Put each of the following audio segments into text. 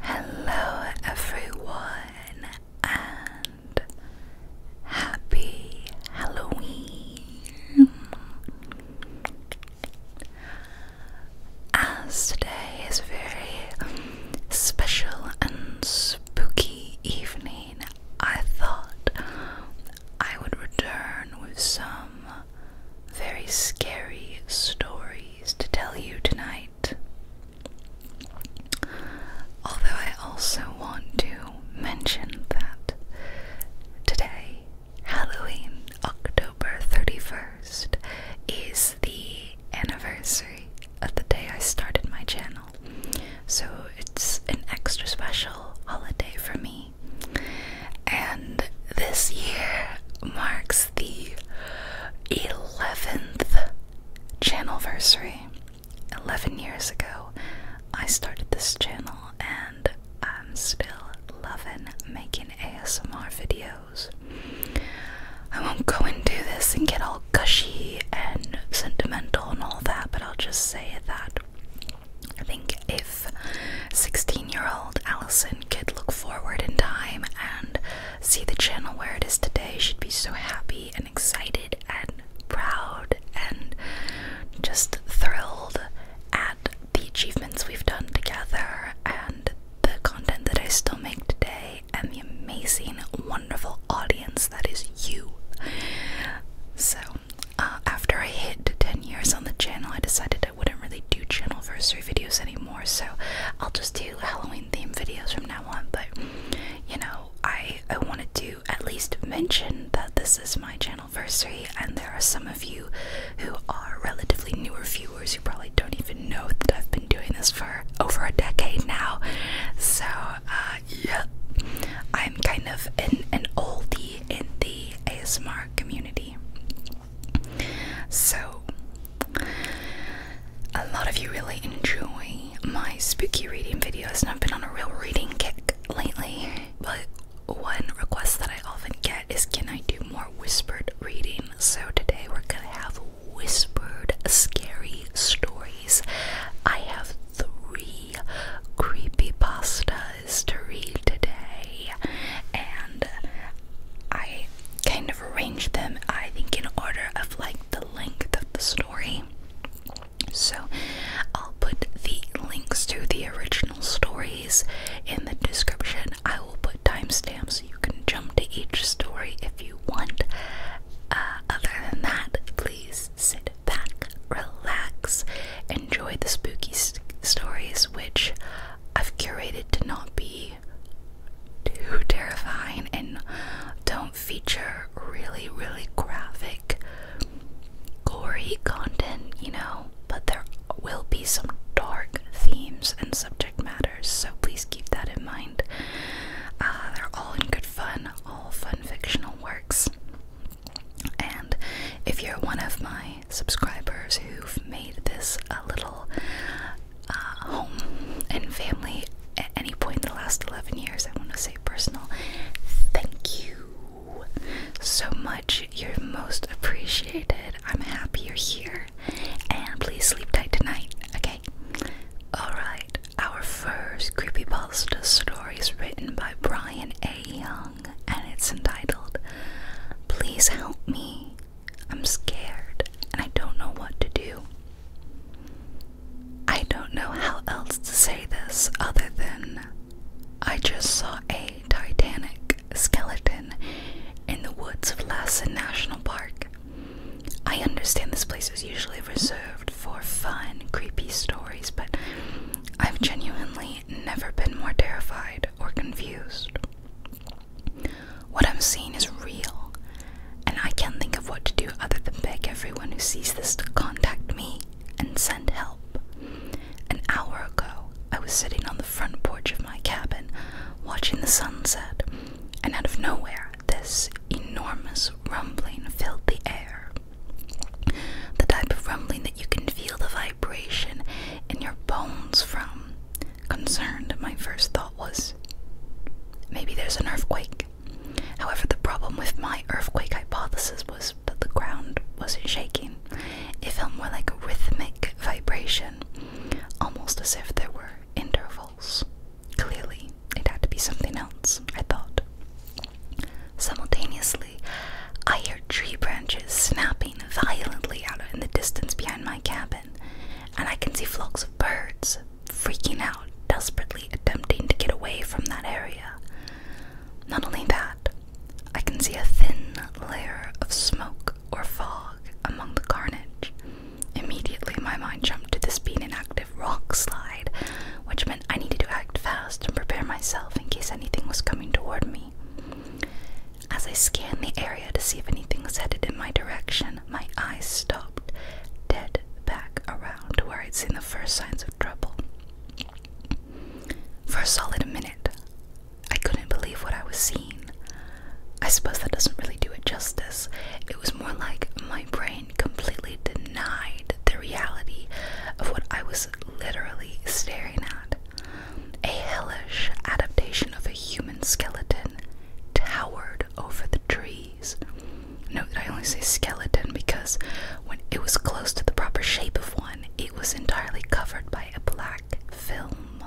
Hello, everyone, and happy Halloween! As today is a very special and spooky evening, I thought I would return with some very scary stories to tell you tonight. Although I also want to mention that today, Halloween, October 31st, is the anniversary of the day I started my channel. So it's an extra special holiday for me and this year marks the 11th channel anniversary. 11 years ago, I started this channel, and I'm still loving making ASMR videos. I won't go and do this and get all gushy and sentimental and all that, but I'll just say that I think if 16 year old Allison could look forward in time and see the channel where it is today, she'd be so happy and excited and proud and just thrilled at the achievements we've done together and the content that I still make today and the amazing, wonderful audience that is you. So, uh, after I hit 10 years on the channel, I decided to. I wouldn't really do channel anniversary videos anymore, so I'll just do Halloween themed videos from now on. But you know, I I wanted to at least mention that this is my channel anniversary, and there are some of you who are relatively newer viewers who probably don't even know that I've been doing this for over a decade now. So uh, I'm kind of an an oldie in the ASMR community. So, a lot of you really enjoy my spooky reading videos, and I've been on a real reading kick lately. But one request that I often get is can I do more whispered reading? So, today we're gonna have whispered scary stories. I have three creepy pastas to read today, and I kind of arrange them, I think, in order of like the length of the story. So I'll put the links to the original stories in the description. I will put timestamps so you can jump to each story if you want. Uh, other than that, please sit back, relax, enjoy the spooky stories, which I've curated to not be too terrifying and don't feature really, really graphic, gory content, you know. But there will be some dark themes and subject matters, so please keep that in mind. Uh, they're all in good fun, all fun fictional works. And if you're one of my subscribers who've made this a little uh, home and family at any point in the last 11 years. I want to say personal thank you so much. You're most appreciated. I'm happy you're here. And please sleep tight tonight, okay? Alright, our first creepypasta story is written by Brian A. Young and it's entitled Please Help Me I'm scared and I don't know what to do. I don't know how else to say this other than I just saw a Titanic skeleton in the woods of Lassen National Park. I understand this place is usually reserved for fun, creepy stories, but I've genuinely never been more terrified or confused. What I'm seeing is real, and I can't think of what to do other than beg everyone who sees this to contact me and send help. An hour ago, I was sitting on the front porch of my cabin watching the sunset, and out of nowhere, this enormous rumbling filled the air. The type of rumbling that you can feel the vibration in your bones from. Concerned, my first thought was maybe there's an earthquake. However, the problem with my earthquake hypothesis was that the ground wasn't shaking, it felt more like a rhythmic vibration, almost as if there were intervals. Clearly, it had to be something else, I thought. Simultaneously, I heard tree branches snapping violently out in the distance behind my cabin and I can see flocks of birds freaking out, desperately attempting to get away from that area. Not only that, I can see a thin layer of smoke or fog among the carnage. Immediately, my mind jumped to this being an active rock slide, which meant I needed to act fast and prepare myself in case anything was coming toward me. As I scanned the area to see if anything was headed in my direction, my eyes stopped dead back around to where I'd seen the first signs of trouble. For a solid minute, I couldn't believe what I was seeing. I suppose that doesn't really do it justice. It was more like my brain completely denied the reality of what I was literally staring at. A hellish adaptation of a human skeleton towered over the trees. Note that I only say skeleton because when it was close to the proper shape of one, it was entirely covered by a black film.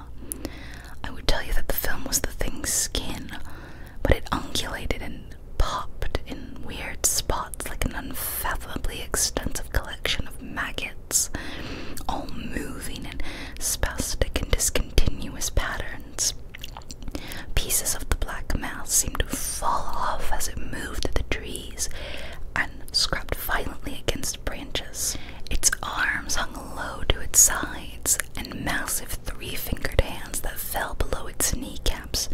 I would tell you that the film was the thing's skin, but it ungulated and popped in weird spots like an unfathomably extensive collection of maggots all moving in spasmodic and discontinuous patterns. Pieces of the black mass seemed to fall off as it moved through the trees and scrubbed violently against branches. Its arms hung low to its sides, and massive three fingered hands that fell below its kneecaps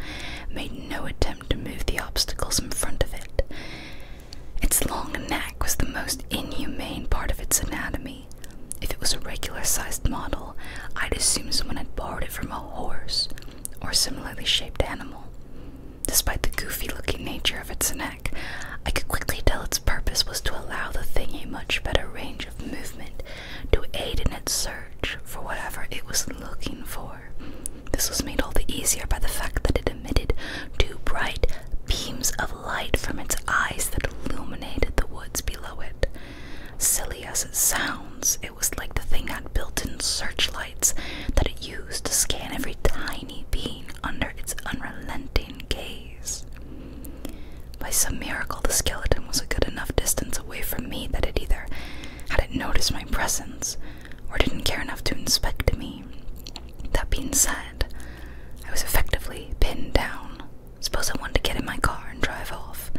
made no attempt to move the obstacles in front of it. Its long neck was the most inhumane part of its anatomy. If it was a regular sized model, I'd assume someone had borrowed it from a horse or a similarly shaped animal. Despite the goofy looking nature of its neck, I could quickly tell its purpose was to allow the thing a much better range of movement to aid in its search for whatever it was looking for. This was made all the easier by the fact that it emitted two bright beams of light from its eyes that illuminated the woods below it. Silly as it sounds, it was like the thing had built in searchlights that it used to scan every tiny being under its unrelenting gaze. By some miracle, the skeleton was a good enough distance away from me that it either hadn't noticed my presence or didn't care enough to inspect me. That being said, I was effectively pinned down. Suppose I wanted to get in my car and drive off.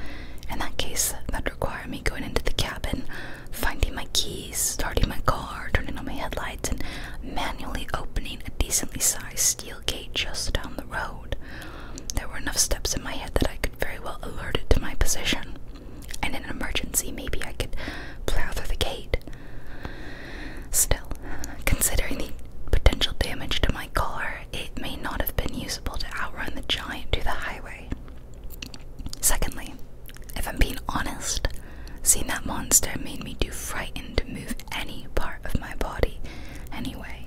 In that case, that'd require me going into the cabin, finding my keys, starting my car, turning on my headlights, and manually opening a decently sized steel gate just down the road. There were enough steps in my head that I could very well alert it to my position. And in an emergency, maybe I could plow through the gate. Still, considering the potential damage to my car, it may not have been usable to outrun the giant to the highway. Secondly, if I'm being honest, seeing that monster made me too frightened to move any part of my body anyway.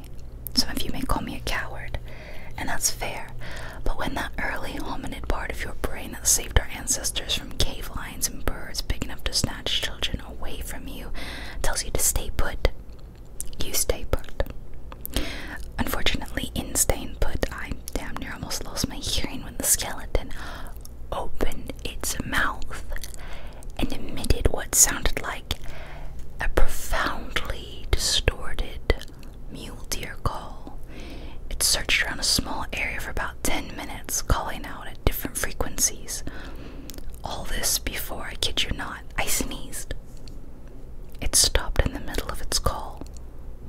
Some of you may call me a coward, and that's fair, but when that early hominid part of your brain that saved our ancestors from cave lions and birds big enough to snatch children away from you, tells you to stay put. You stay put. Unfortunately, in staying put, I damn near almost lost my hearing when the skeleton opened its mouth and emitted what sounded like a profoundly distorted mule deer call. It searched around a small area for about 10 minutes, calling out at different frequencies all this before, I kid you not, I sneezed. It stopped in the middle of its call,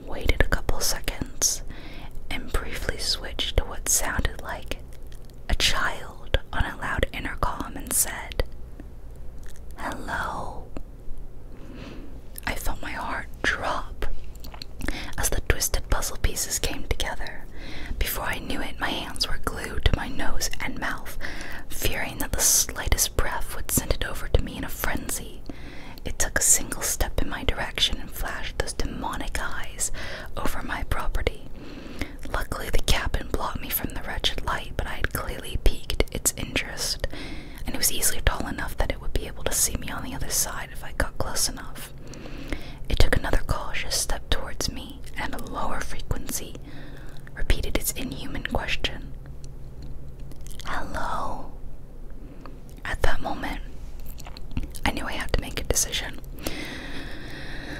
waited a couple seconds, and briefly switched to what sounded like a child on a loud intercom and said, Hello. I felt my heart drop as the twisted puzzle pieces came together. Before I knew it, my hands were glued to my nose and mouth, fearing that the slightest breath would send it over to me in a frenzy. It took a single step in my direction and flashed those demonic eyes over my property. Luckily, the cabin blocked me from the wretched light, but I had clearly piqued its interest, and it was easily tall enough that it would be able to see me on the other side if I got close enough. It took another cautious step towards me, and a lower frequency repeated its inhuman question Hello? At that moment, I knew I had to make a decision.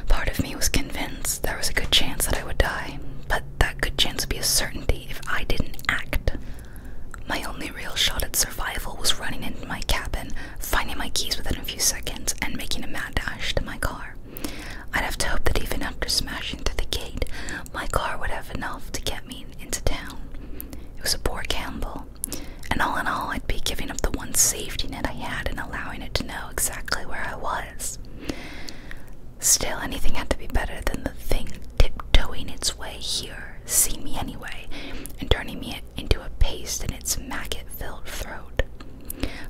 Part of me was convinced there was a good chance that I would die, but that good chance would be a certainty if I didn't act. My only real shot at survival was running in my cabin, finding my keys within a few seconds, and making a mad dash to my car. I'd have to hope that even after smashing through the gate, my car would have enough to get me into town. It was a poor gamble, and all in all, I'd be giving up the one safety net I had and allowing it to know exactly where I was. Still, anything had to be better than the thing tiptoeing its way here, seeing me anyway, and turning me into a paste in its maggot-filled throat.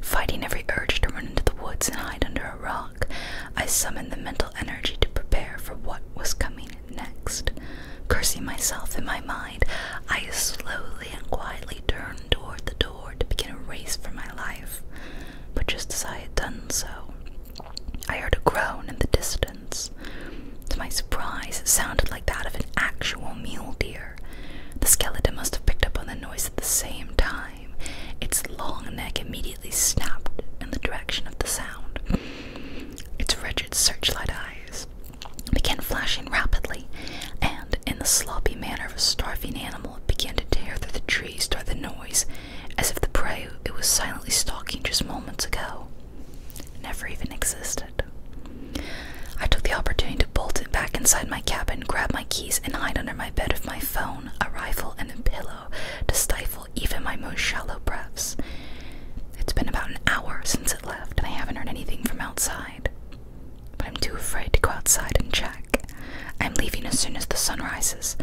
Fighting every urge to run into the woods and hide under a rock, I summoned the mental energy to prepare for what was coming next. Cursing myself in my mind, I slowly and quietly turned toward the door to begin a race for my life. But just as I had done so, I heard a groan in the distance. To my surprise, it sounded like that of an actual mule deer. The skeleton must have picked up on the noise at the same time. Its long neck immediately snapped in the direction of the sound. Its wretched searchlight eyes began flashing rapidly, and in the sloppy manner of a starving animal, began to tear through the trees toward the noise, as if the prey it was silently stalking just moments ago never even existed. I took the opportunity to bolt it back inside my cabin, grab my keys, and hide under my bed with my phone, a rifle, and a pillow to stifle even my most shallow breaths. It's been about an hour since it left, and I haven't heard anything from outside. But I'm too afraid to go outside and check. I'm leaving as soon as the sun rises,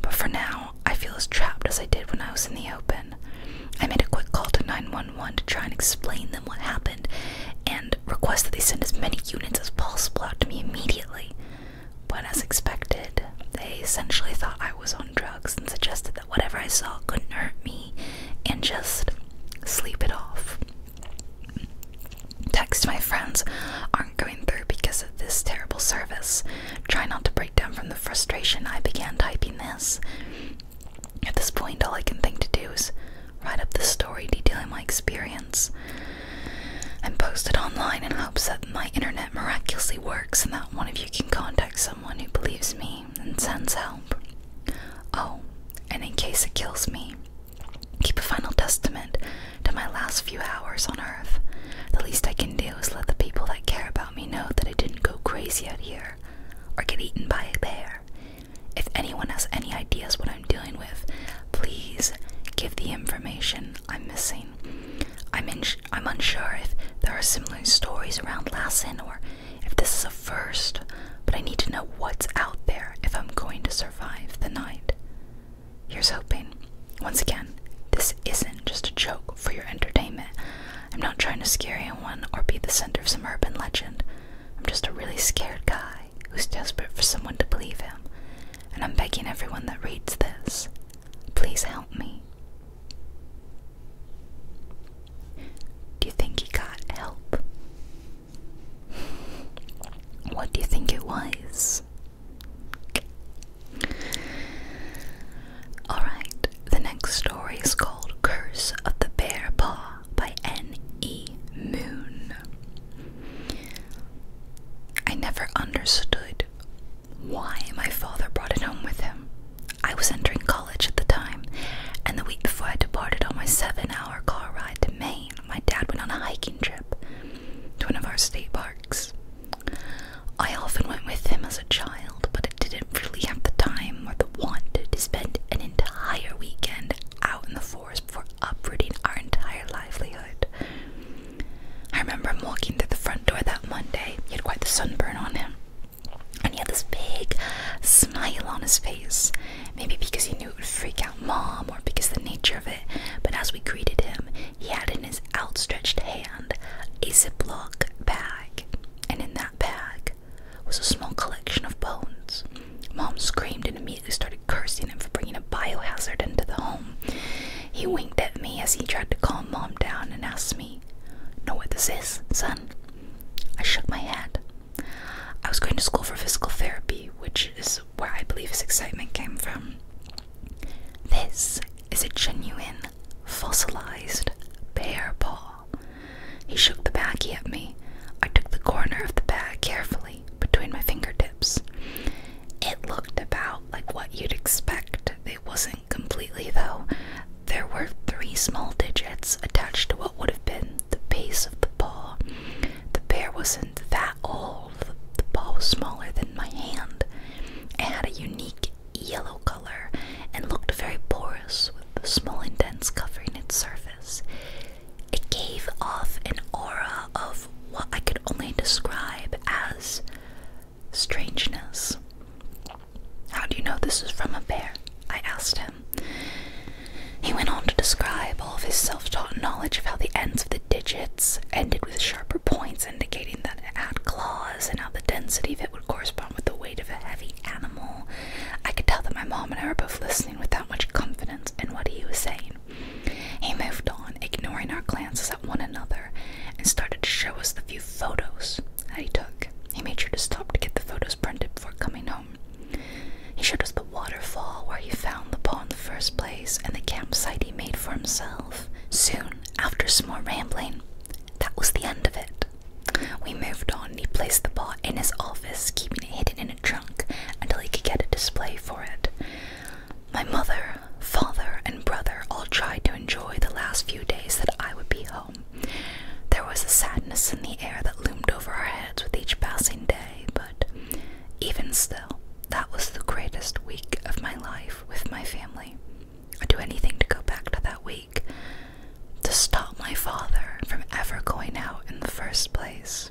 but for now, I feel as trapped as I did when I was in the open. I made a quick call to 911 to try and explain them what happened and request that they send as many units as possible out to me immediately. But as expected, they essentially thought I was on drugs and suggested that whatever I saw couldn't hurt me and just sleep it off. Text my friends aren't going through because of this terrible service. Try not to break down from the frustration I began typing this. At this point, all I can think to do is write up the story detailing my experience and post it online in hopes that my internet miraculously works and that one of you can contact someone who believes me and sends help. Oh, and in case it kills me, keep a final testament to my last few hours on Earth. The least I can do is let the people that care about me know that I didn't go crazy out here or get eaten by a bear. If anyone has any ideas what I'm dealing with, please give the information I'm missing. I'm, I'm unsure if there are similar stories around Lassen or if this is a first, but I need to know what's out there if I'm going to survive the night. Here's hoping. Once again, this isn't just a joke for your entertainment. I'm not trying to scare anyone or be the center of some urban legend. I'm just a really scared guy who's desperate for someone to believe him, and I'm begging everyone that reads this. Please help me. Do you think he got help? What do you think it was? Alright, the next story is called Curse of the Bear Paw by N.E. Moon. I never understood why my father brought it home with him. I was entering college at the time, and the week before I departed on my seven hour car ride to Maine, my dad went on a hiking trip to one of our state parks. I often went with him as a child, but I didn't really have the time the want to spend an entire weekend out in the forest before uprooting our entire livelihood. I remember him walking through the front door that Monday. He had quite the sunburn on him. And he had this big smile on his face. Maybe because he knew it would freak out mom or because the nature of it. But as we greeted him, he had in his outstretched hand a Ziploc bag. And in that bag was a small collection of bones. Mom screamed and immediately started cursing him for bringing a biohazard into the home. He winked at me as he tried to calm Mom down and asked me, Know what this is, son? I shook my head. I was going to school for physical therapy, which is where I believe his excitement came from. This is a genuine fossilized bear paw. He shook the bag at me. I took the corner of the bag carefully between my fingertips. It looked about like what you'd expect. It wasn't completely, though. There were three small digits attached to what would have been the base of the paw. The bear wasn't that old. The, the paw was smaller than my hand. It had a unique yellow color and looked very porous with small indents covering its surface. It gave off an aura of what I could only describe as strangeness. How do you know this is from a bear? I asked him. He went on to describe all of his self taught knowledge of how the ends of the digits ended with sharper points, indicating that it had claws, and how the density of it would correspond with the weight of a heavy animal, I could tell that my mom and I were both listening without much confidence in what he was saying. He moved on, ignoring our glances at one another, and started to show us the few photos that he took. He made sure to stop to get the photos printed before coming home. He showed us the waterfall where he found the paw in the first place and the campsite he made for himself. Soon, after some more rambling, that was the end of it. We moved on, he placed the pot in his office, keeping it hidden in a trunk until he could get a display for it. My mother, father, and brother all tried to enjoy the last few days that I would be home. There was a sadness in the air that loomed over our heads with each passing day, but even still, that was the greatest week of my life with my family. I'd do anything to go back to that week to stop my father from ever going out in the first place.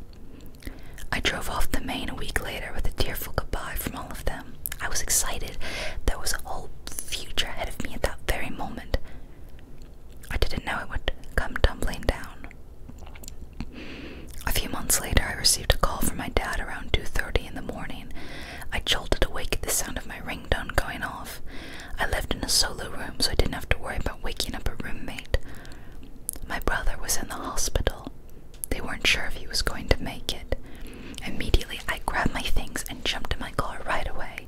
I drove off the main a week later with a tearful goodbye from all of them. I was excited. There was a whole future ahead of me at that very moment. I didn't know it would come tumbling down. A few months later, I received a call from my dad around 2:30 in the morning. I jolted awake at the sound of my ringtone going off. I lived in a solo room, so I didn't have to worry about waking up a roommate. My brother was in the hospital. They weren't sure if he was going to make it. Immediately, I grabbed my things and jumped in my car right away.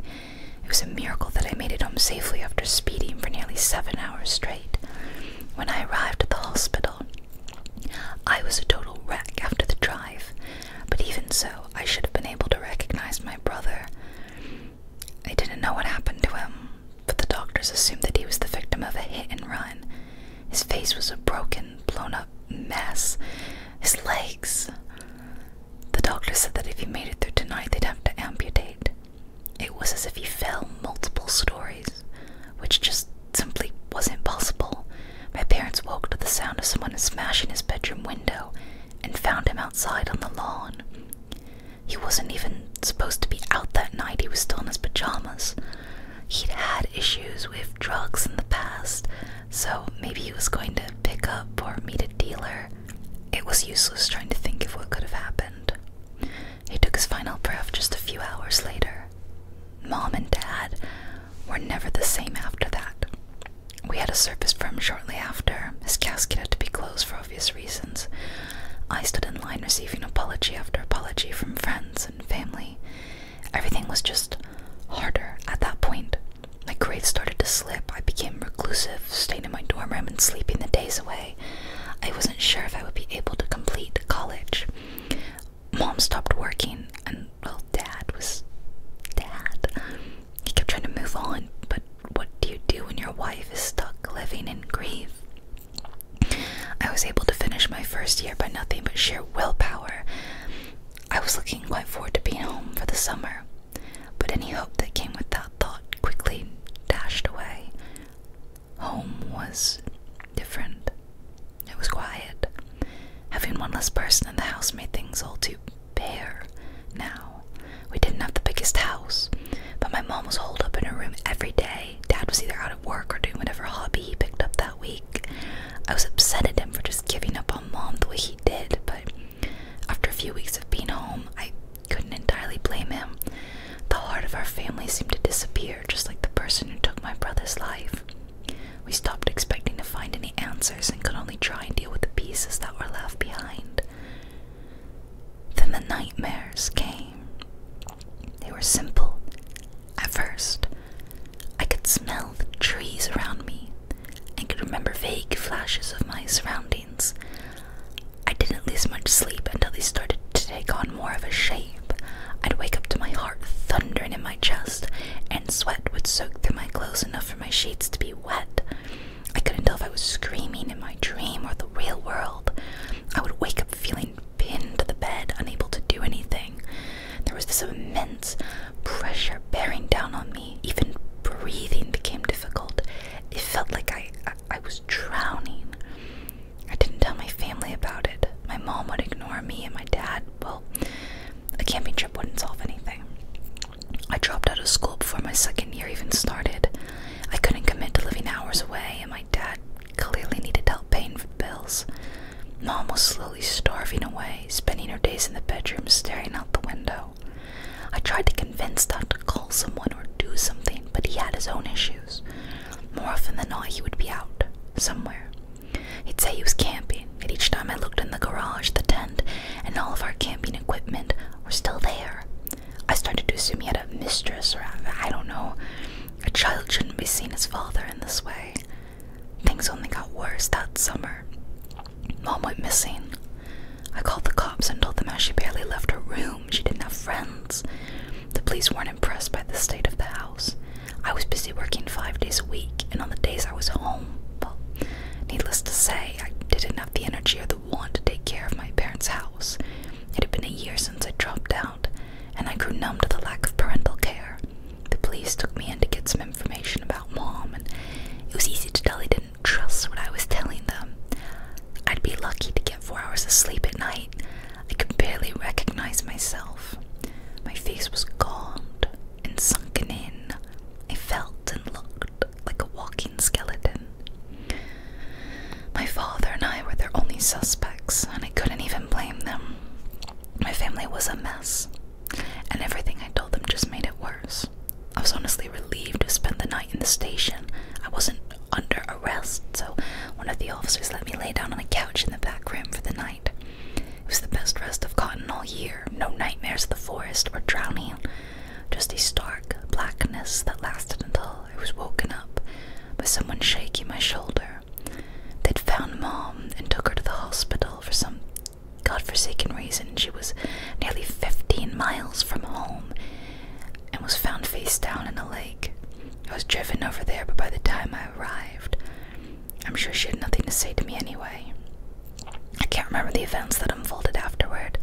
It was a miracle that I made it home safely after speeding for nearly seven hours straight. When I arrived at the hospital, I was a total wreck after the drive, but even so, I should have been able to recognize my brother. They didn't know what happened to him, but the doctors assumed that he was the victim of a hit and run. His face was a broken, blown up mess. His legs. The doctor said that if he made it through tonight, they'd have to amputate. It was as if he fell multiple stories, which just simply wasn't possible. My parents woke to the sound of someone smashing his bedroom window and found him outside on the lawn. He wasn't even supposed to be out that night, he was still in his pajamas. He'd had issues with drugs in the past, so maybe he was going to pick up or meet a dealer. It was useless trying to think of what could have happened. He took his final breath just a few hours later. Mom and Dad were never the same after that. We had a service for him shortly after. His casket had to be closed for obvious reasons, I stood in line receiving apology after apology from friends and family. Everything was just harder at that point. My grades started to slip. I became reclusive, staying in my dorm room and sleeping the days away. I wasn't sure if I would be able to complete college. Mom stopped working, and well, Dad was Dad. He kept trying to move on, but what do you do when your wife is stuck living in grief? I was able to finish my first year by nothing but sheer willpower. I was looking quite forward to being home for the summer, but any hope that came with that thought quickly dashed away. Home was different. It was quiet. Having one less person in the house made things all too bare now. We didn't have the biggest house, but my mom was holed up in her room every day. Dad was either out of work or doing whatever hobby he picked up that week. I was upset at him for just giving up on mom the way he did, but after a few weeks of being home, I couldn't entirely blame him. The heart of our family seemed to disappear, just like the person who took my brother's life. We stopped expecting to find any answers and could only try and deal with the pieces that were left behind. Then the nightmares came. They were simple. At first, I could smell the trees around me and could remember vague flashes of my surroundings. I didn't lose much sleep until they started to take on more of a shape. I'd wake up to my heart thundering in my chest, and sweat would soak through my clothes enough for my sheets to be wet. I couldn't tell if I was screaming in my dream or the real world. I would wake up feeling pinned to the bed, unable to do anything. There was this immense pressure bearing down on me. Even breathing became difficult. It felt like I, I, was drowning. I didn't tell my family about it. My mom would ignore me, and my dad, well, a camping trip wouldn't solve anything. I dropped out of school before my second year even started. I couldn't commit to living hours away, and my dad clearly needed help paying for bills. Mom was slowly starving away, spending her days in the bedroom staring out the window. I tried to convince Dad to call someone or do something, but he had his own issues. More often than not, he would be out, somewhere. He'd say he was camping, and each time I looked in the garage, the tent, and all of our camping equipment were still there. I started to assume he had a mistress, or I don't know. A child shouldn't be seen as father in this way. Things only got worse that summer. Mom went missing. I called the cops and told them how she barely left her room, she didn't have friends. The police weren't impressed by the state of the house. I was busy working five days a week, and on the days I was home, well, needless to say, I didn't have the energy or the the want to take care of my parents' house. It had been a year since I dropped out, and I grew numb to the lack of parental care. The police took me in to get some information about mom, and it was easy to tell they didn't trust what I was telling them. I'd be lucky to get four hours of sleep at night. I could barely recognize myself. My face was gaunt and sunken in. I felt and looked like a walking skeleton. My father and I were their only suspects, and I couldn't even blame them. My family was a mess, and everything I told them just made it worse. I was honestly relieved to spend the night in the station. I wasn't under arrest, so one of the officers let me lay down on a couch in the back room for the night. It was the best rest I've gotten all year. No nightmares of the forest or drowning, just a stark blackness that lasted until I was woken up by someone shaking my shoulder. They'd found Mom and took her to the hospital for some godforsaken reason. She was nearly 15 miles from home and was found face down in a lake. I was driven over there, but by the time I arrived, I'm sure she had nothing to say to me anyway. I can't remember the events that unfolded afterward.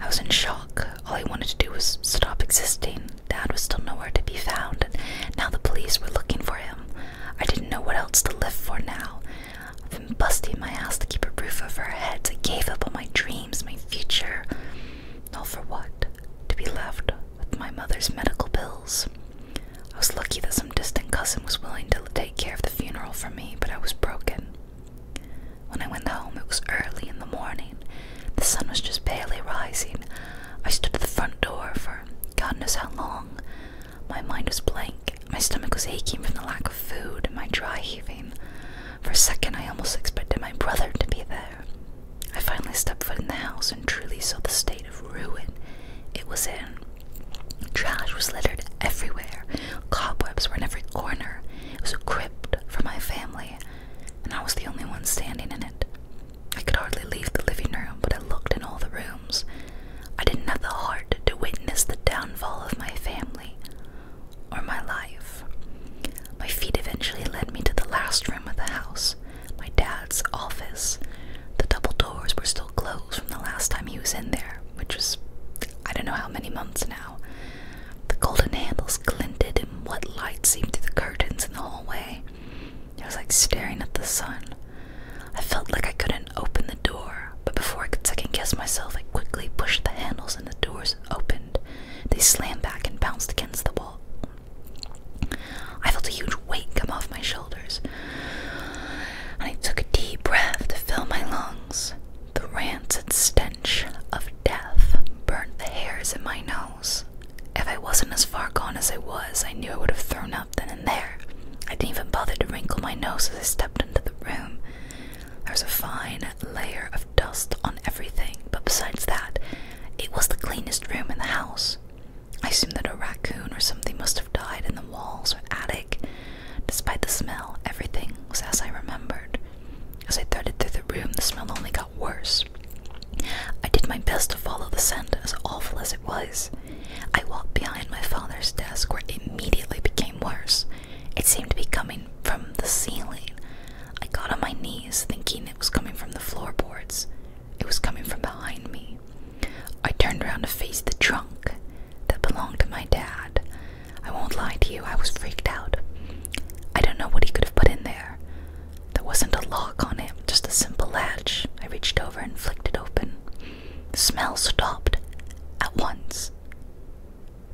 I was in shock all he wanted to do was stop existing. Dad was still nowhere to be found, and now the police were looking for him. I didn't know what else to live for now. I've been busting my ass to keep a roof over our heads. I gave up on my dreams, my future. All for what? To be left with my mother's medical bills. I was lucky that some distant cousin was willing to take care of the funeral for me, but I was broken. When I went home, it was early in the morning. The sun was just barely rising. I stood at the front door for God knows how long. My mind was blank. My stomach was aching from the lack of food and my dry heaving. For a second, I almost expected my brother to be there. I finally stepped foot in the house and truly saw the state of ruin it was in. Trash was littered everywhere, cobwebs were in every corner, it was a crypt for my family, and I was the only one standing in it. I could hardly leave the living room, but I looked in all the rooms. I didn't have the heart to witness the downfall of my family or my life. My feet eventually led me to the last room of the house, my dad's office. The double doors were still closed from the last time he was in there, which was I don't know how many months now. The golden handles glinted in what light seeped through the curtains in the hallway. It was like staring at the sun. I felt like I couldn't open the door, but before I could second guess myself, I quickly pushed the handles and the doors opened. They slammed back and bounced against the wall. I felt a huge weight come off my shoulders, and I took a deep breath to fill my lungs. The rancid stench of death burnt the hairs in my nose. If I wasn't as far gone as I was, I knew I would have thrown up then and there. I didn't even bother to wrinkle my nose as I stepped into the room. There was a fine layer of dust on everything, but besides that, it was the cleanest room in the house. I assumed that a raccoon or something must have died in the walls or attic. Despite the smell, everything was as I remembered. As I darted through the room, the smell only got worse. I did my best to follow the scent, as awful as it was. I walked behind my father's desk, where it immediately became worse. It seemed to be coming from the ceiling. I got on my knees, thinking it was coming from the floorboards. It was coming from behind me. I turned around to face the trunk that belonged to my dad. I won't lie to you, I was freaked out. I don't know what he could have put in there. There wasn't a lock on it, just a simple latch. I reached over and flicked it open. The smell stopped at once.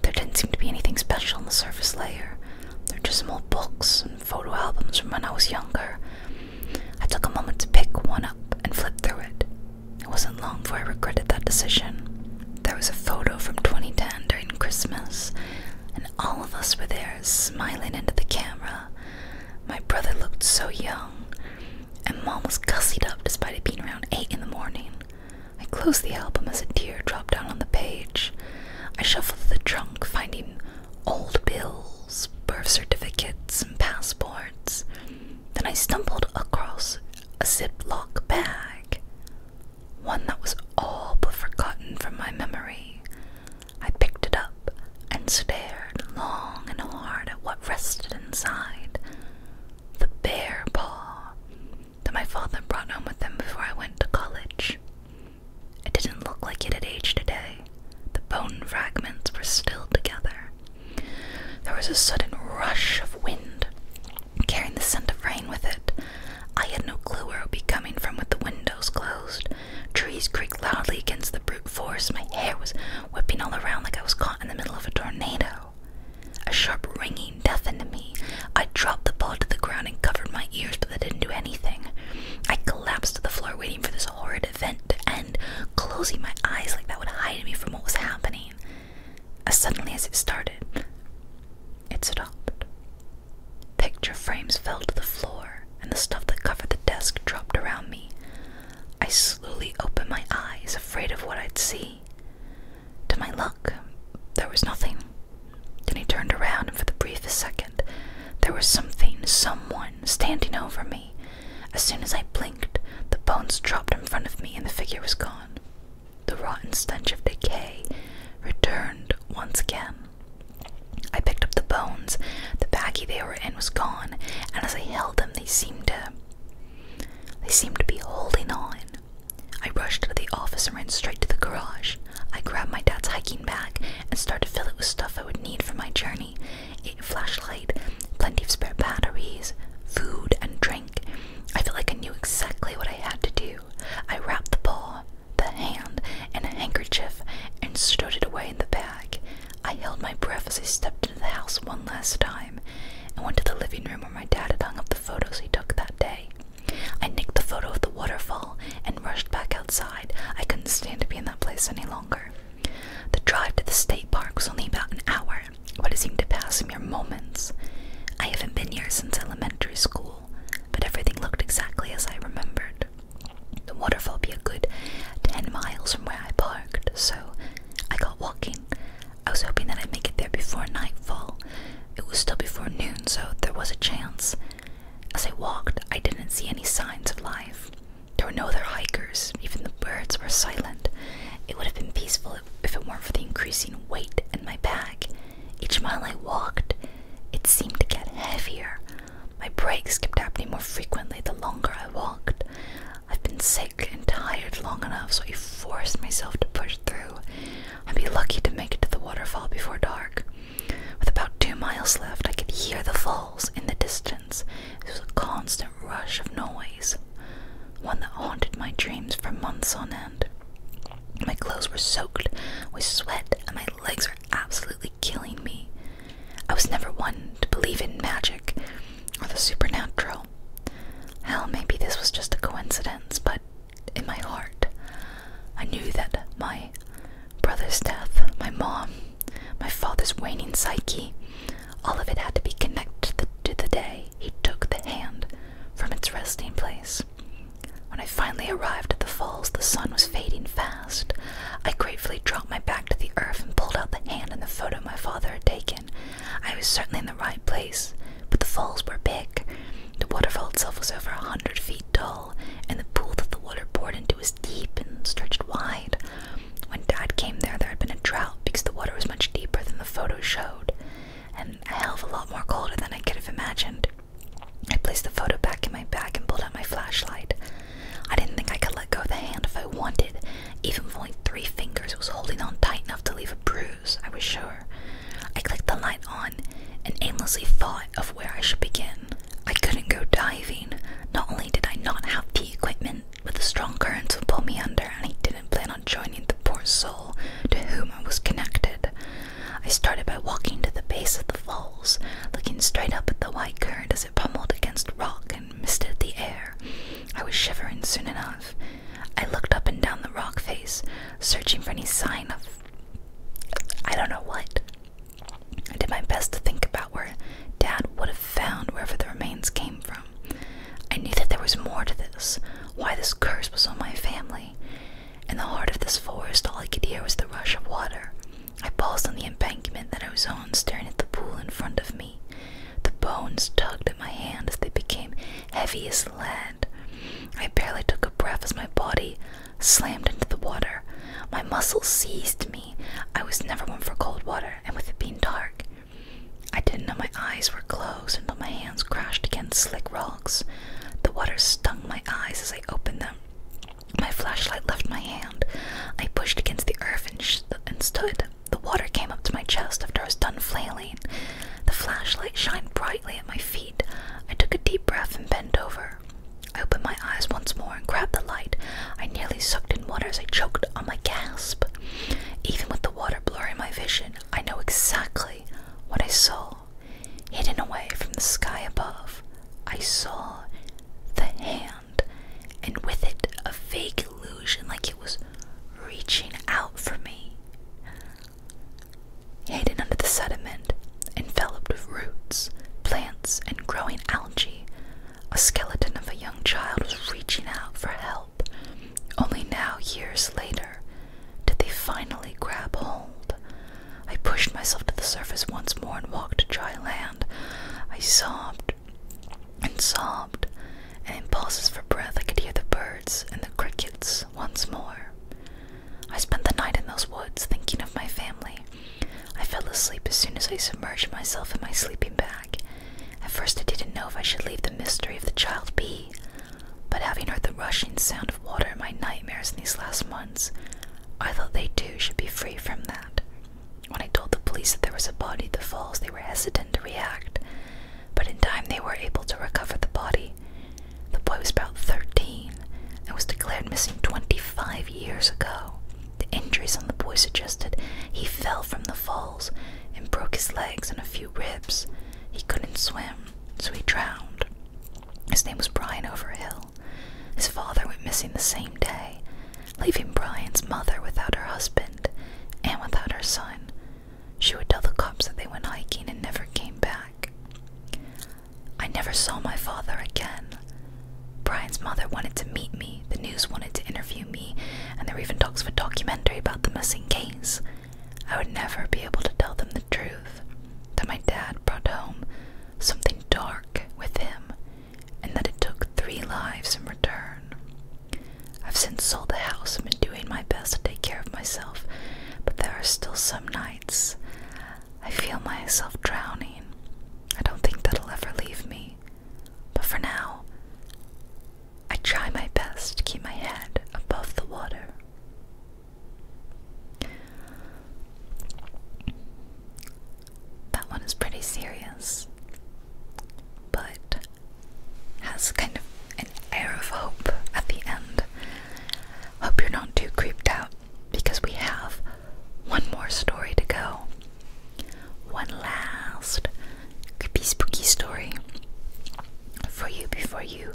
There didn't seem to be anything special in the surface layer. There were just some old books and photo albums from when I was younger. I took a moment to pick one up and flip through it. It wasn't long before I regretted that decision. There was a photo from 2010 during Christmas, and all of us were there smiling into the camera. My brother looked so young, and mom was gussied up despite it being around 8 in the morning. I closed the album as a tear dropped down on the page. I shuffled the trunk, finding old bills, birth certificates, and passports. Then I stumbled across a Ziploc bag one that was all but forgotten from my memory. I picked it up and stared long and hard at what rested inside the bear paw that my father brought home with him before I went to college. It didn't look like it had aged a day. The bone fragments were still together. There was a sudden rush of wind carrying the scent of rain with it. I had no clue where it would be coming from with the windows closed. Trees creaked loudly against the brute force. My hair was whipping all around like I was caught in the middle of a tornado. A sharp ringing deafened me. I dropped the ball to the ground and covered my ears, but that didn't do anything. I collapsed to the floor, waiting for this horrid event to end, closing my eyes like that would hide me from what was happening. As suddenly as it started, it stopped. Picture frames fell to the floor, and the stuff that covered the desk dropped around me. I slowly opened my eyes, afraid of what I'd see. To my luck, there was nothing. Then he turned around, and for the briefest second, there was something, someone, standing over me. As soon as I blinked, the bones dropped in front of me, and the figure was gone. The rotten stench of decay returned once again. I picked up the bones, the baggie they were in was gone, and as I held them they seemed to they seemed to be holding on. I rushed out of the office and ran straight to the garage. I grabbed my dad's hiking bag and started to fill it with stuff I would need for my journey. A flashlight, plenty of spare batteries, food and drink. I felt like I knew exactly what I had to do. I wrapped the paw, the hand, and a handkerchief and stowed it away in the bag. I held my breath as I stepped into the house one last time and went to the living room where my dad had hung up the photos he took that day. I nicked the photo of the waterfall and rushed back outside. I couldn't stand to be in that place any longer. The drive to the state park was only about an hour, but it seemed to pass some moments. I haven't been here since elementary school, but everything looked exactly as I remembered. The waterfall be a good 10 miles from where I parked, so I got walking. I was hoping that I'd make it there before nightfall. It was still before noon, so there was a chance. As I walked, I didn't see any signs of life. There were no other hikers, even the birds were silent. It would have been peaceful if it weren't for the increasing weight in my bag. Each mile I walked, it seemed to get heavier. My breaks kept happening more frequently the longer I walked. I've been sick and tired long enough, so I forced myself to push through. I'd be lucky to make it to the waterfall before dark. With about two miles left, I could hear the falls in the distance. It was a constant rush of noise one that haunted my dreams for months on end. My clothes were soaked with sweat, and my legs were absolutely killing me. I was never one to believe in magic or the supernatural. Hell, maybe this was just a coincidence, but in my heart, I knew that my brother's death, my mom, my father's waning psyche, all of it had to be connected to the, to the day he took the hand from its resting place. When I finally arrived at the falls, the sun was fading fast. I gratefully dropped my back to the earth and pulled out the hand and the photo my father had taken. I was certainly in the right place, but the falls were big. The waterfall itself was over a hundred feet tall, and the pool that the water poured into was deep and stretched wide. When Dad came there, there had been a drought because the water was much deeper than the photo showed and a hell of a lot more colder than I could have imagined. I placed the photo back in my bag and pulled out my flashlight. I didn't think I could let go of the hand if I wanted, even with only three fingers, it was holding on tight enough to leave a bruise, I was sure. I clicked the light on and aimlessly thought of where I should begin. I couldn't go diving. Not only did I not have the equipment, but the strong currents would pull me under, and I didn't plan on joining the poor soul to whom I was connected. I started by walking to the base of the falls, looking straight up at the white current as it pummeled against rock and misted the air. I was shivering soon enough. I looked up and down the rock face, searching for any sign of I don't know what. I did my best to think about where Dad would have found wherever the remains came from. I knew that there was more to this, why this curse was on my family. In the heart of this forest, all I could hear was the rush of water. I paused on the embankment that I was on, staring at the pool in front of me. The bones tugged at my hand as they became heavy as lead. I barely took a breath as my body slammed into the water. My muscles seized me. I was never one for cold water, and with it being dark, I didn't know my eyes were closed until my hands crashed against slick rocks. The water stung my eyes as I opened them. My flashlight left my hand. I pushed against the earth and stood. The water came up to my chest after I was done flailing. The flashlight shined brightly at my feet. I took a deep breath and bent over. I opened my eyes once more and grabbed the light. I nearly sucked in water as I choked on my gasp. Even with the water blurring my vision, I know exactly what I saw, hidden away from the sky above, I saw the hand, and with it a vague illusion like it was reaching out for me. Hidden under the sediment, enveloped with roots, plants, and growing algae, a skeleton of a young child was reaching out for help. Only now, years later, did they finally grab hold. I pushed myself to the surface once more and walked dry land. I sobbed and sobbed, and in pauses for breath, I could hear the birds and the crickets once more. I spent the night in those woods thinking of my family. I fell asleep as soon as I submerged myself in my sleeping bag. At first, I didn't know if I should leave the mystery of the child be. But having heard the rushing sound of water in my nightmares in these last months, I thought they too should be free from that. When I told the police that there was a body at the falls, they were hesitant to react, but in time they were able to recover the body. The boy was about 13 and was declared missing 25 years ago. The injuries on the boy suggested he fell from the falls and broke his legs and a few ribs. He couldn't swim so he drowned. His name was Brian Overhill. His father went missing the same day, leaving Brian's mother without her husband and without her son. She would tell the cops that they went hiking and never came back. I never saw my father again. Brian's mother wanted to meet me, the news wanted to interview me, and there were even talks of a documentary about the missing case. I would never be able to tell them the truth that my dad brought home something dark with him and that it took three lives in return. I've since sold the house and been doing my best to take care of myself, but there are still some nights I feel myself drowning. I don't think that'll ever leave me, but for now, I try my best to keep my head above the water. That one is pretty serious, but has kind of an air of hope at the end. Hope you're not too creeped out because we have one more story to go. One last creepy, spooky story for you before you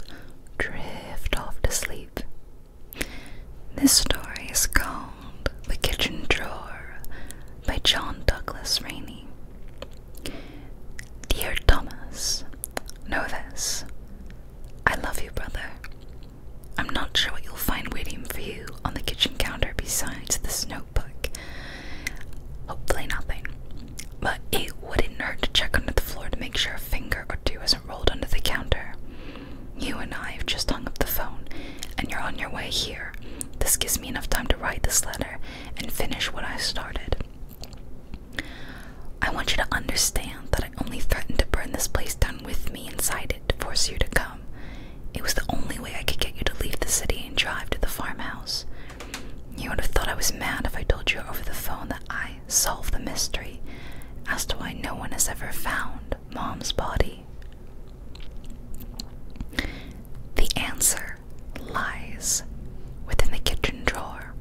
drift off to sleep. This story is called The Kitchen Drawer by John Douglas Rainey. Dear Thomas, know this. I love you, brother. I'm not sure what you'll find waiting for you on the kitchen counter besides this notebook. Hopefully, nothing but it wouldn't hurt to check under the floor to make sure a finger or 2 is hasn't rolled under the counter. You and I have just hung up the phone, and you're on your way here. This gives me enough time to write this letter and finish what I started. I want you to understand that I only threatened to burn this place down with me inside it to force you to come. It was the only way I could get you to leave the city and drive to the farmhouse. You would have thought I was mad if I told you over the phone that I solve the mystery as to why no one has ever found Mom's body. The answer lies within the kitchen drawer.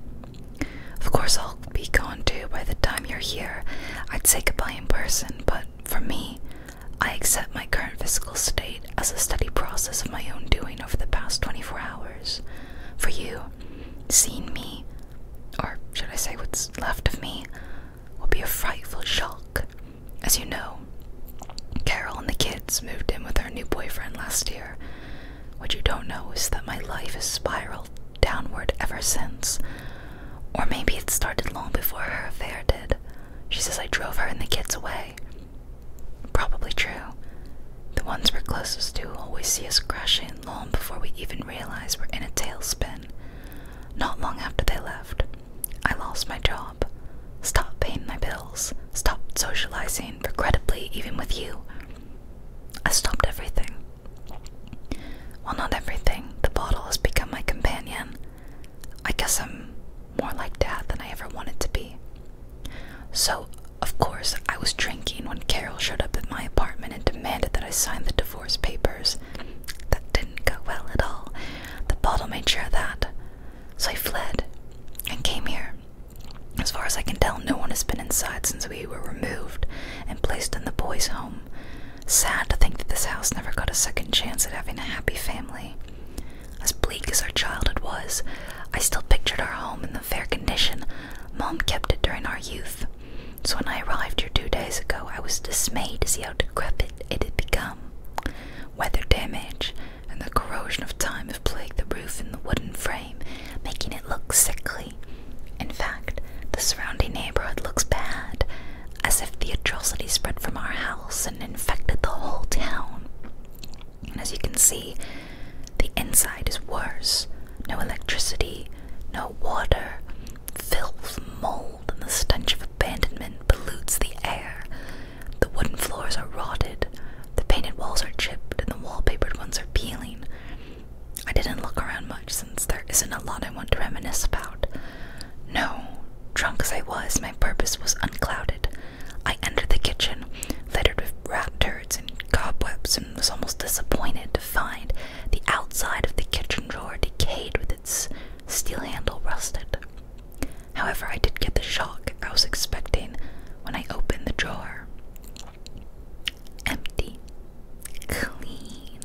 Of course, I'll be gone too by the time you're here. I'd say goodbye in person, but for me, I accept my current physical state as a steady process of my own doing over the past 24 hours. For you, seen me, or should I say what's left of me, will be a frightful shock. As you know, Carol and the kids moved in with her new boyfriend last year. What you don't know is that my life has spiraled downward ever since. Or maybe it started long before her affair did. She says I drove her and the kids away. Probably true. The ones we're closest to always see us crashing long before we even realize we're in a tailspin. Not long after they left, I lost my job, stopped paying my bills, stopped socializing, regrettably, even with you. I stopped everything. Well, not everything. The bottle has become my companion. I guess I'm more like Dad than I ever wanted to be. So of course, I was drinking when Carol showed up at my apartment and demanded that I sign the divorce papers. That didn't go well at all. The bottle made sure of that. So I fled and came here. As far as I can tell, no one has been inside since we were removed and placed in the boys' home. Sad to think that this house never got a second chance at having a happy family. As bleak as our childhood was, I still pictured our home in the fair condition Mom kept it during our youth, so when I arrived here two days ago, I was dismayed to see how decrepit it had become. Weather damage and the corrosion of time have plagued the roof and the wooden frame, making it look sickly. In fact, the surrounding neighborhood looks bad, as if the atrocity spread from our house and infected the whole town. And as you can see, the inside is worse. No electricity, no water, filth, mold, and the stench of abandonment pollutes the air. The wooden floors are rotted, the painted walls are chipped, and the wallpapered ones are peeling. I didn't look around much since there isn't a lot I want to reminisce about. No, drunk as I was, my purpose was unclouded. I entered the kitchen, littered with rat turds and cobwebs Watson was almost disappointed to find the outside of the kitchen drawer decayed with its steel handle rusted. However, I did get the shock I was expecting when I opened the drawer. Empty, clean,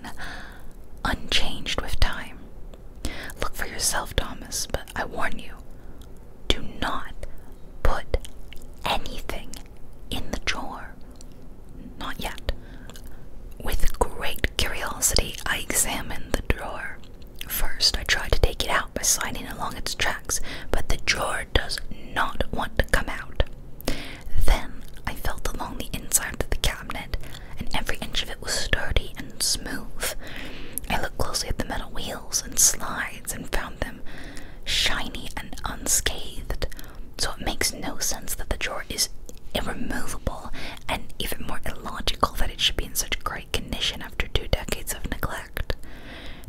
unchanged with time. Look for yourself, Thomas, but I warn you do not put anything in the drawer? Not yet. With great curiosity, I examined the drawer. First, I tried to take it out by sliding along its tracks, but the drawer does not want to come out. Then, I felt along the inside of the cabinet, and every inch of it was sturdy and smooth. I looked closely at the metal wheel and slides and found them shiny and unscathed. So it makes no sense that the drawer is irremovable, and even more illogical that it should be in such great condition after two decades of neglect.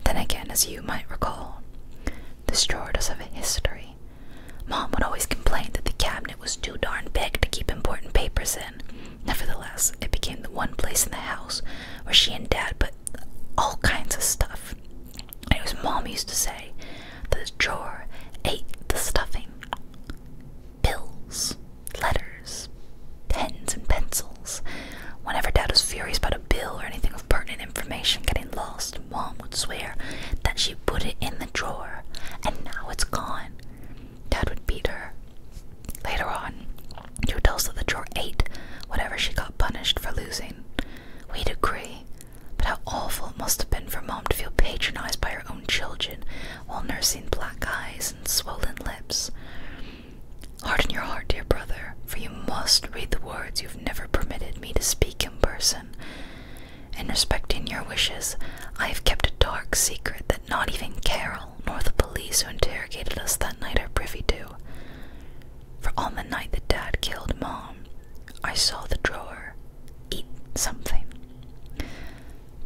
Then again, as you might recall, this drawer does have a history. Mom would always complain that the cabinet was too darn big to keep important papers in. Nevertheless, it became the one place in the house where she and Dad put all kinds of stuff. And his mom used to say that the drawer ate the stuffing. Bills, letters, pens and pencils. Whenever Dad was furious about a bill or anything of pertinent information getting lost, Mom would swear that she put it in the drawer and now it's gone. Dad would beat her. Later on, who tells that you're eight, whatever she got punished for losing. We'd agree, but how awful it must have been for Mom to feel patronized by her own children while nursing black eyes and swollen lips. Harden your heart, dear brother, for you must read the words you've never permitted me to speak in person. In respecting your wishes, I have kept a dark secret that not even Carol nor the police who interrogated us that night are privy to. For on the night that Dad killed Mom, I saw the drawer eat something.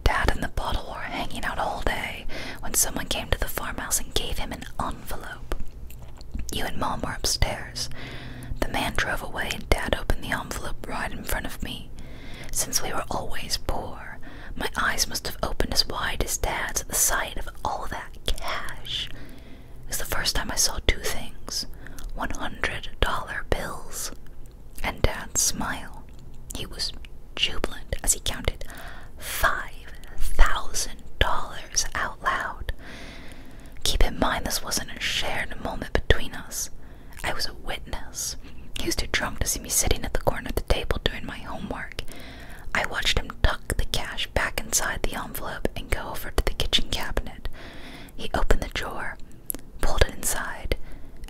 Dad and the bottle were hanging out all day when someone came to the farmhouse and gave him an envelope. You and Mom were upstairs. The man drove away, and Dad opened the envelope right in front of me. Since we were always poor, my eyes must have opened as wide as Dad's at the sight of all that cash is the first time I saw two things $100 bills. And Dad's smile. He was jubilant as he counted $5,000 out loud. Keep in mind, this wasn't a shared moment between us. I was a witness. He was too drunk to see me sitting at the corner of the table doing my homework. I watched him tuck the cash back inside the envelope and go over to the kitchen cabinet. He opened the drawer, pulled it inside,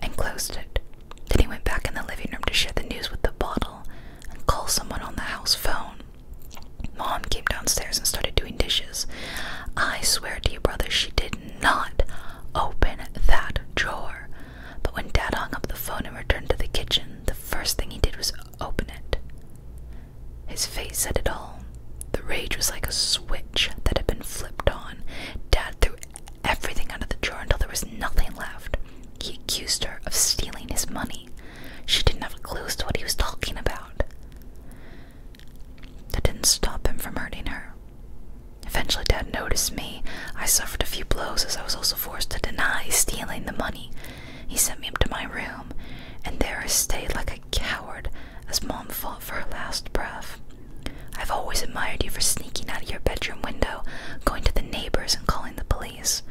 and closed it. Then he went back in the living room to share the news with the bottle and call someone on the house phone. Mom came downstairs and started doing dishes. I swear to you, brother, she did not open that drawer. But when Dad hung up the phone and returned to the kitchen, the first thing he did was open it. His face said it all. The rage was like a switch that had been flipped on. Dad threw everything out of the drawer until there was nothing left. He accused her of stealing his money. She didn't have a clue to what he was talking about. That didn't stop him from hurting her. Eventually, Dad noticed me. I suffered a few blows as I was also forced to deny stealing the money. He sent me up to my room, and there I stayed like a coward as Mom fought for her last breath. I've always admired you for sneaking out of your bedroom window, going to the neighbors, and calling the police.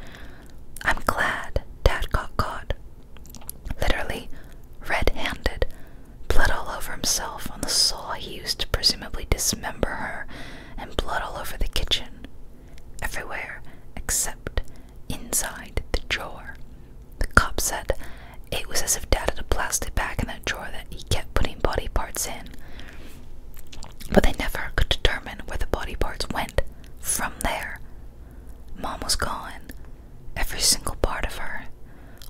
I'm glad Dad got caught. Literally, red handed, blood all over himself on the saw he used to presumably dismember her, and blood all over the kitchen. Everywhere except inside the drawer. The cop said it was as if Dad had a plastic bag in that drawer that he kept putting body parts in, but they never could determine where the body parts went from there. Mom was gone, every single part of her.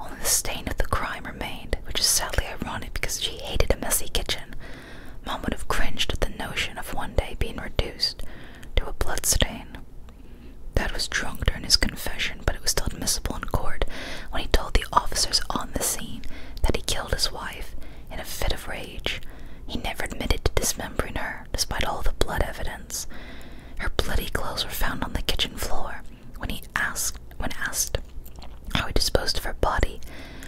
Only the stain of the crime remained, which is sadly ironic because she hated a messy kitchen. Mom would have cringed at the notion of one day being reduced to a blood stain. Dad was drunk during his confession, but it was still admissible in court when he told the officers on the scene that he killed his wife in a fit of rage. He never admitted to dismembering her, despite all the blood evidence. Her bloody clothes were found on the kitchen floor. When he asked, when asked how he disposed of her body,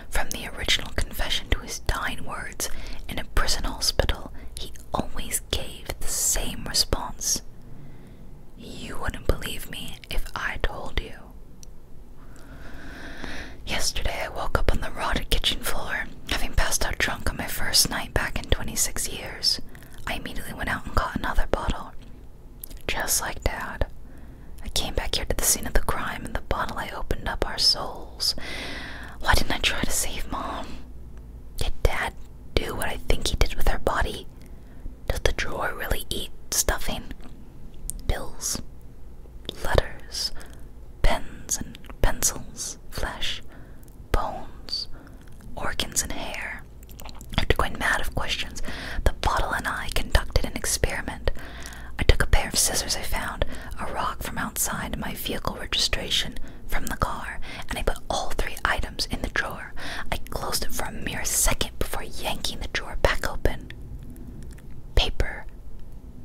from the original confession to his dying words in a prison hospital, he always gave the same response. You wouldn't believe me if I told you. Yesterday, I woke up on the rotted kitchen floor, having passed out drunk on my first night back in 26 years. I immediately went out and got another bottle. Just like Dad. I came back here to the scene of the crime, and the bottle I opened up our souls. Why didn't I try to save mom? Did dad do what I think he did with her body? Does the drawer really eat stuffing? Bills, letters, pens and pencils, flesh, bones, organs, and hair. After going mad of questions, the bottle and I conducted an experiment. I took a pair of scissors I found, a rock from outside my vehicle registration from the car and I put all three items in the drawer. I closed it for a mere second before yanking the drawer back open. Paper,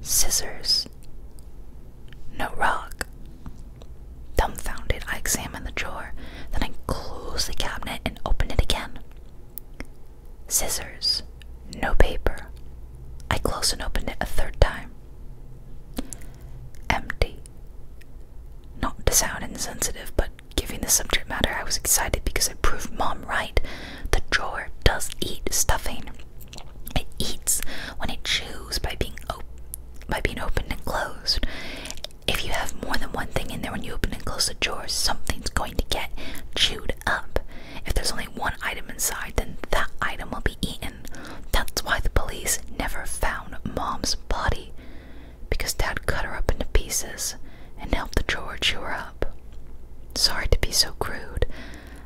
scissors, no rock. Dumbfounded, I examined the drawer, then I closed the cabinet and opened it again. Scissors, no paper. I closed and opened it a third time. Empty. Not to sound insensitive, but giving the subject matter, I was excited because I proved mom right. The drawer does eat stuffing. It eats when it chews by being by being opened and closed. If you have more than one thing in there when you open and close the drawer, something's going to get chewed up. If there's only one item inside, then that item will be eaten. That's why the police never found Mom's body, because Dad cut her up into pieces and helped the drawer chew her up. Sorry to be so crude.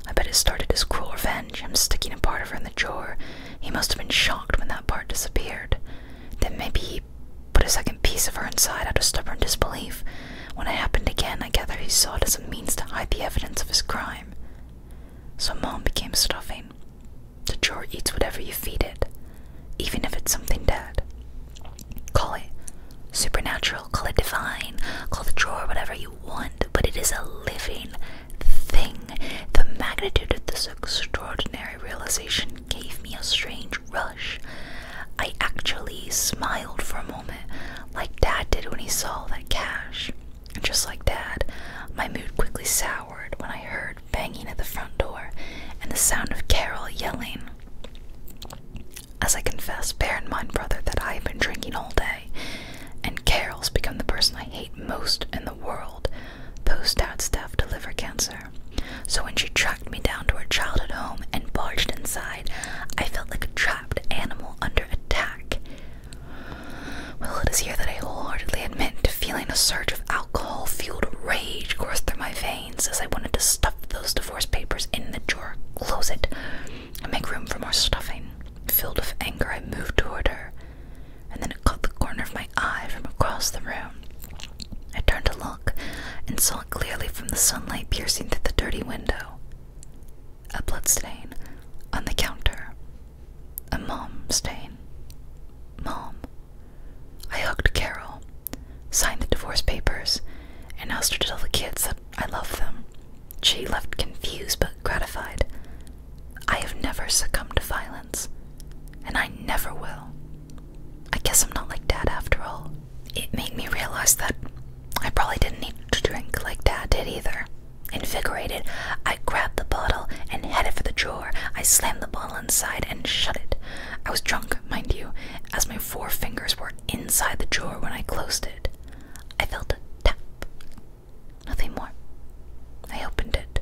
I bet it started as cruel revenge, him sticking a part of her in the drawer. He must have been shocked when that part disappeared. Then maybe he put a second piece of her inside out of stubborn disbelief. When it happened again, I gather he saw it as a means to hide the evidence of his crime so mom became stuffing. The drawer eats whatever you feed it, even if it's something dead. Call it supernatural, call it divine, call the drawer whatever you want, but it is a living thing. The magnitude of this extraordinary realization gave me a strange rush. I actually smiled for a moment, like Dad did when he saw that cash. Just like Dad, my mood quickly soured when I heard banging at the front door and the sound of Carol yelling. As I confess, bear in mind, brother, that I have been drinking all day, and Carol's become the person I hate most in the world post dad's stuff to liver cancer. So when she tracked me down to her childhood home and barged inside, I felt like a trapped animal under attack. Well, it is here that I wholeheartedly admit to feeling a surge of alcohol fueled rage course through my veins as I wanted to stuff those divorce papers in the drawer, close it, and make room for more stuffing. Filled with anger, I moved toward her, and then it caught the corner of my eye from across the room. I turned to look and saw clearly from the sunlight piercing through the dirty window. A blood stain on the counter, a mom stain. Mom. I hugged Carol, signed the divorce papers, and asked her to tell the kids that I love them. She left confused but gratified. I have never succumbed to violence, and I never will. I guess I'm not like Dad after all. It made me realize that I probably didn't need to drink like Dad did either. Invigorated, I grabbed the bottle and headed for the drawer. I slammed the bottle inside and shut it. I was drunk, mind you, as my four fingers were inside the drawer when I closed it. I felt a tap. Nothing more. I opened it.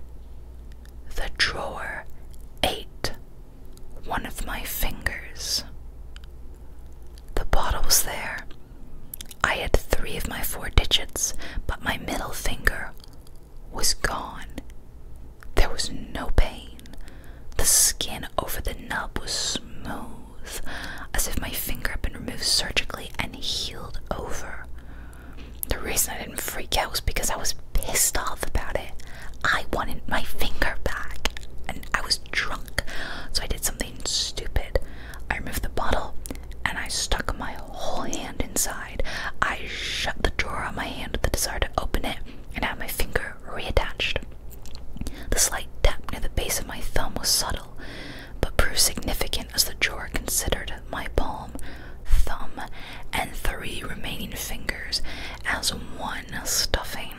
The drawer ate one of my fingers. The bottle was there, I had three of my four digits, but my middle finger was gone. There was no pain. The skin over the nub was smooth, as if my finger had been removed surgically and healed over. The reason I didn't freak out was because I was pissed off about it. I wanted my finger back, and I was drunk, so I did something stupid. I removed the bottle and I stuck my whole hand inside. I shut the drawer on my hand with the desire to open it and had my finger reattached. The slight tap near the base of my thumb was subtle, but proved significant as the drawer considered my palm, thumb, and three remaining fingers as one stuffing.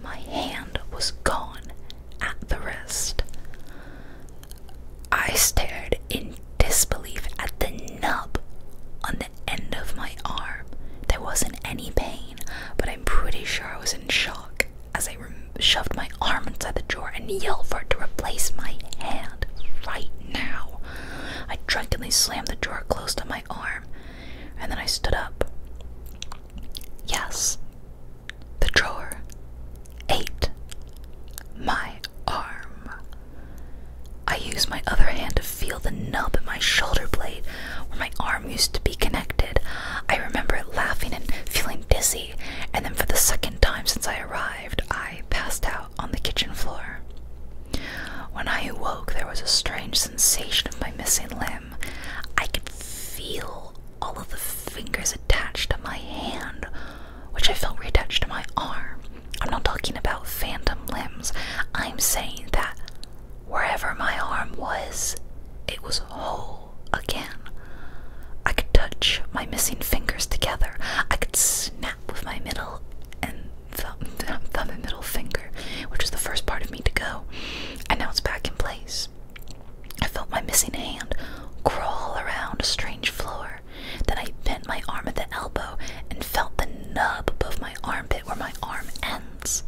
My hand was gone at the wrist. I stared in disbelief at the nub on the end of my arm. There wasn't any pain, but I'm pretty sure I was in shock as I shoved my arm inside the drawer and yelled for it to replace my hand right now. I drunkenly slammed the drawer closed on my arm and then I stood up. Yes, the drawer. 8. My arm. I use my other hand to feel the nub in my shoulder blade where my arm used to be connected. I remember laughing and feeling dizzy, and then for the second time since I arrived, I passed out on the kitchen floor. When I awoke, there was a strange sensation of my missing limb. I could feel all of the fingers attached to my hand, which I felt attached to my arm. I'm not talking about phantom limbs. I'm saying that wherever my arm was, it was whole again. I could touch my missing fingers together. I could snap with my middle and thumb, thumb and middle finger, which was the first part of me to go. And now it's back in place. I felt my missing hand crawl around a strange floor. Then I bent my arm at the elbow and felt the nub above my armpit where my arm ends.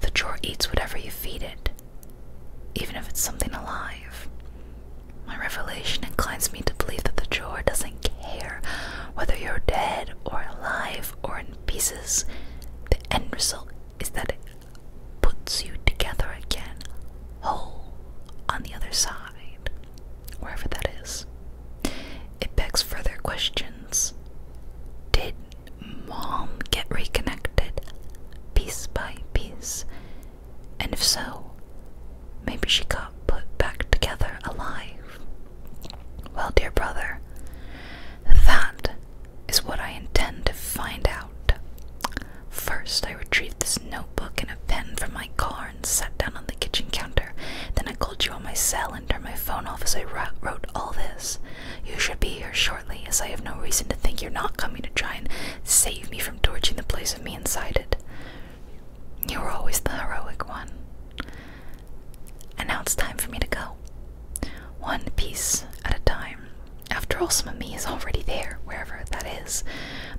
The drawer eats whatever you feed it, even if it's something alive. My revelation inclines me to believe that the drawer doesn't care whether you're dead or alive or in pieces. The end result is that puts you together again, whole, on the other side, wherever that is. It begs further questions. Did mom get reconnected piece by piece? And if so, maybe she got put back together alive. Well, dear brother, that is what I intend to find out. First, I retrieved this notebook and a pen from my car and sat down on the kitchen counter. Then I called you on my cell and turned my phone off as I wrote all this. You should be here shortly, as I have no reason to think you're not coming to try and save me from torching the place of me inside it. You were always the heroic one. And now it's time for me to go. One piece at a time. After all, some of me is already there, wherever that is.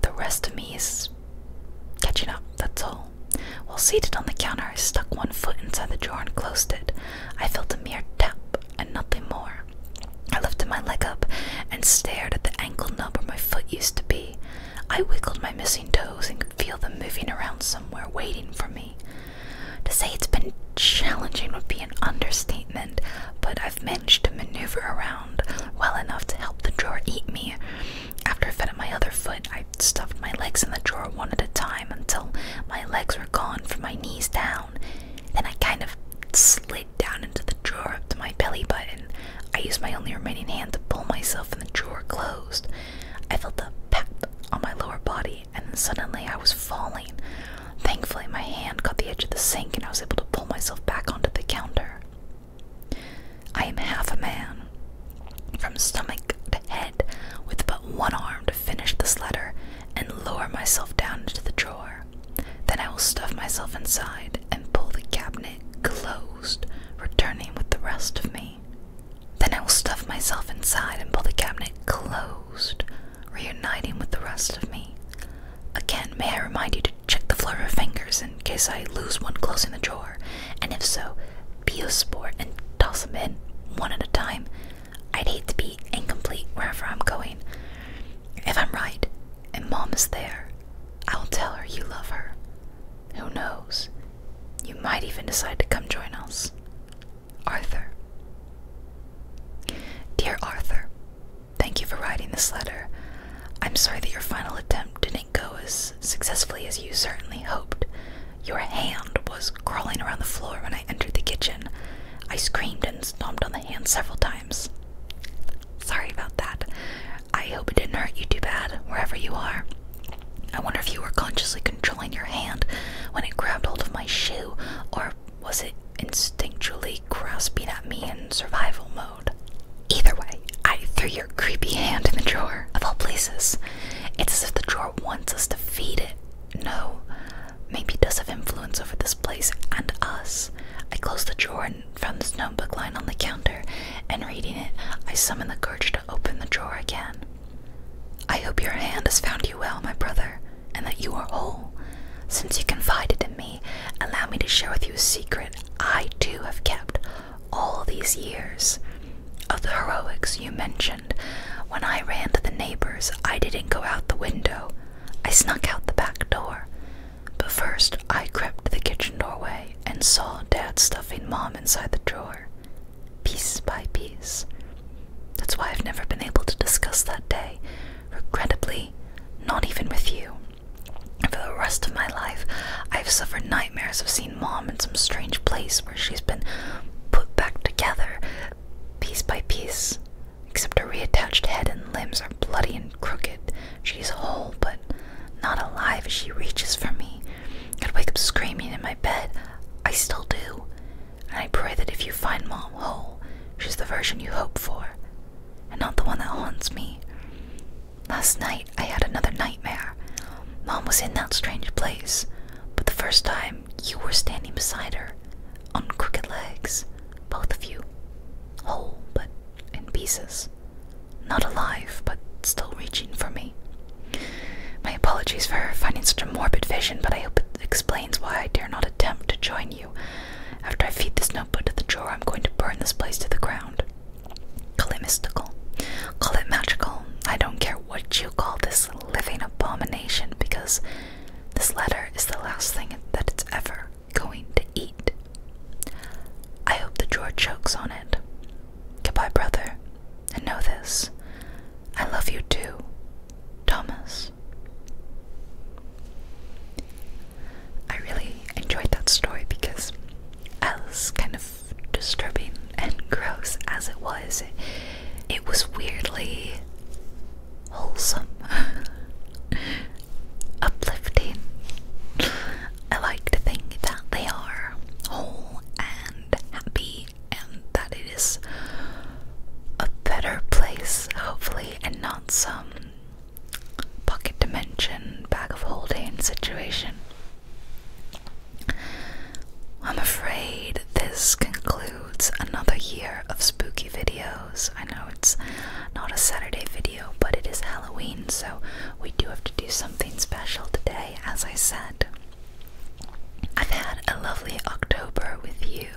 The rest of me is catching up, that's all. While seated on the counter, I stuck one foot inside the drawer and closed it. I felt a mere tap and nothing more. I lifted my leg up and stared at the ankle nub where my foot used to be. I wiggled my missing toes and could feel them moving around somewhere, waiting for me. To say it's been Challenging would be an understatement, but I've managed to maneuver around well enough to help the drawer eat me. After I fed my other foot, I stuffed my legs in the drawer one at a time until my legs were gone from my knees down. Then I kind of slid down into the drawer up to my belly button. I used my only remaining hand to pull myself in the drawer closed. I felt a pep on my lower body, and then suddenly I was falling. Thankfully, my hand caught the edge of the sink and I was able to pull myself back onto the counter. I am half a man, from stomach to head, with but one arm to finish this letter and lower myself down into the drawer. Then I will stuff myself inside and pull the cabinet closed, returning with the rest of me. Then I will stuff myself inside and pull the cabinet closed, reuniting with the rest of me. Again, may I remind you to check the floor of fingers in case I lose one closing the drawer, and if so, be a sport and toss them in one at a time. I'd hate to be incomplete wherever I'm going. If I'm right, and Mom is there, I'll tell her you love her. Who knows? You might even decide to come join us. Arthur. Dear Arthur, Thank you for writing this letter. I'm sorry that your final attempt didn't go as successfully as you certainly hoped. Your hand was crawling around the floor when I entered the kitchen. I screamed and stomped on the hand several times. Sorry about that. I hope it didn't hurt you too bad, wherever you are. I wonder if you were consciously controlling your hand when it grabbed hold of my shoe, or was it instinctually grasping at me in survival mode? Either way, I threw your creepy hand in the drawer, of all places. It's as if the drawer wants us to feed it. No, maybe it does have influence over this place and us. I closed the drawer and found this notebook lying on the counter, and reading it, I summoned the courage to open the drawer again. I hope your hand has found you well, my brother and that you are whole. Since you confided in me, allow me to share with you a secret I too have kept all these years. Of the heroics you mentioned, when I ran to the neighbors, I didn't go out the window. I snuck out the back door. But first, I crept to the kitchen doorway and saw Dad stuffing Mom inside the drawer, piece by piece. That's why I've never been able to discuss that day. Regrettably, not even with you. For the rest of my life, I've suffered nightmares of seeing Mom in some strange place where she's been put back together, piece by piece. Except her reattached head and limbs are bloody and crooked. She's whole, but not alive as she reaches for me. I'd wake up screaming in my bed. I still do and I pray that if you find Mom whole, she's the version you hope for, and not the one that haunts me. Last night I had another nightmare. Mom was in that strange place, but the first time you were standing beside her, on crooked legs, both of you, whole but in pieces, not alive but still reaching for me. My apologies for finding such a morbid vision, but I hope it explains why I dare not attempt to join you. After I feed this notebook to the drawer, I'm going to burn this place to the ground. Call it mystical. Call it magical. I don't care what you call this living abomination because this letter is the last thing that it's ever going to eat. I hope the drawer chokes on it. Goodbye, brother. And know this. I love you too, Thomas. I really enjoyed that story because, as kind of disturbing and gross as it was, it was weirdly wholesome, uplifting. I like to think that they are whole and happy, and that it is a better place, hopefully, and not some pocket dimension, bag of holding situation. I'm afraid this concludes another year of spooky videos. I know it's not a Saturday video, but it is Halloween, so we do have to do something special today, as I said. I've had a lovely October with you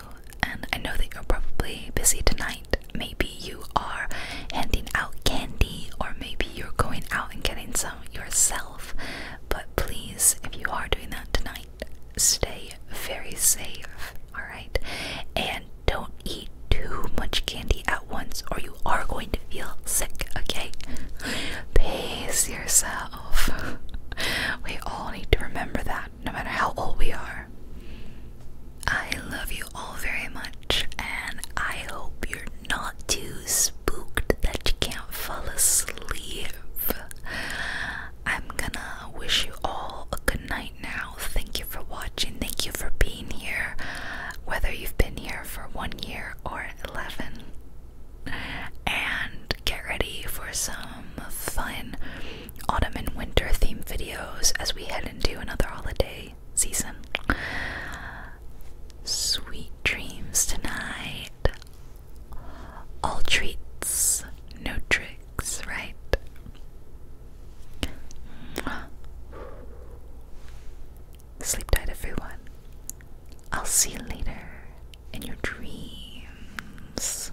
and I know that you're probably busy tonight. Maybe you are handing out candy, or maybe you're going out and getting some yourself. But please, if you are doing that tonight, stay very safe, alright? And don't eat too much candy at once, or you are going to feel sick, okay? Pace yourself. we all need to remember that no matter how old we are. I love you all very much, and I hope you're not too spooked that you can't fall asleep. I'm gonna wish you all a good night now. Thank you for watching, thank you for being here, whether you've been here for one year or 11. And get ready for some fun autumn and winter theme videos as we head into another holiday season. Sweet dreams tonight. All treats, no tricks, right? Sleep tight, everyone. I'll see you later in your dreams.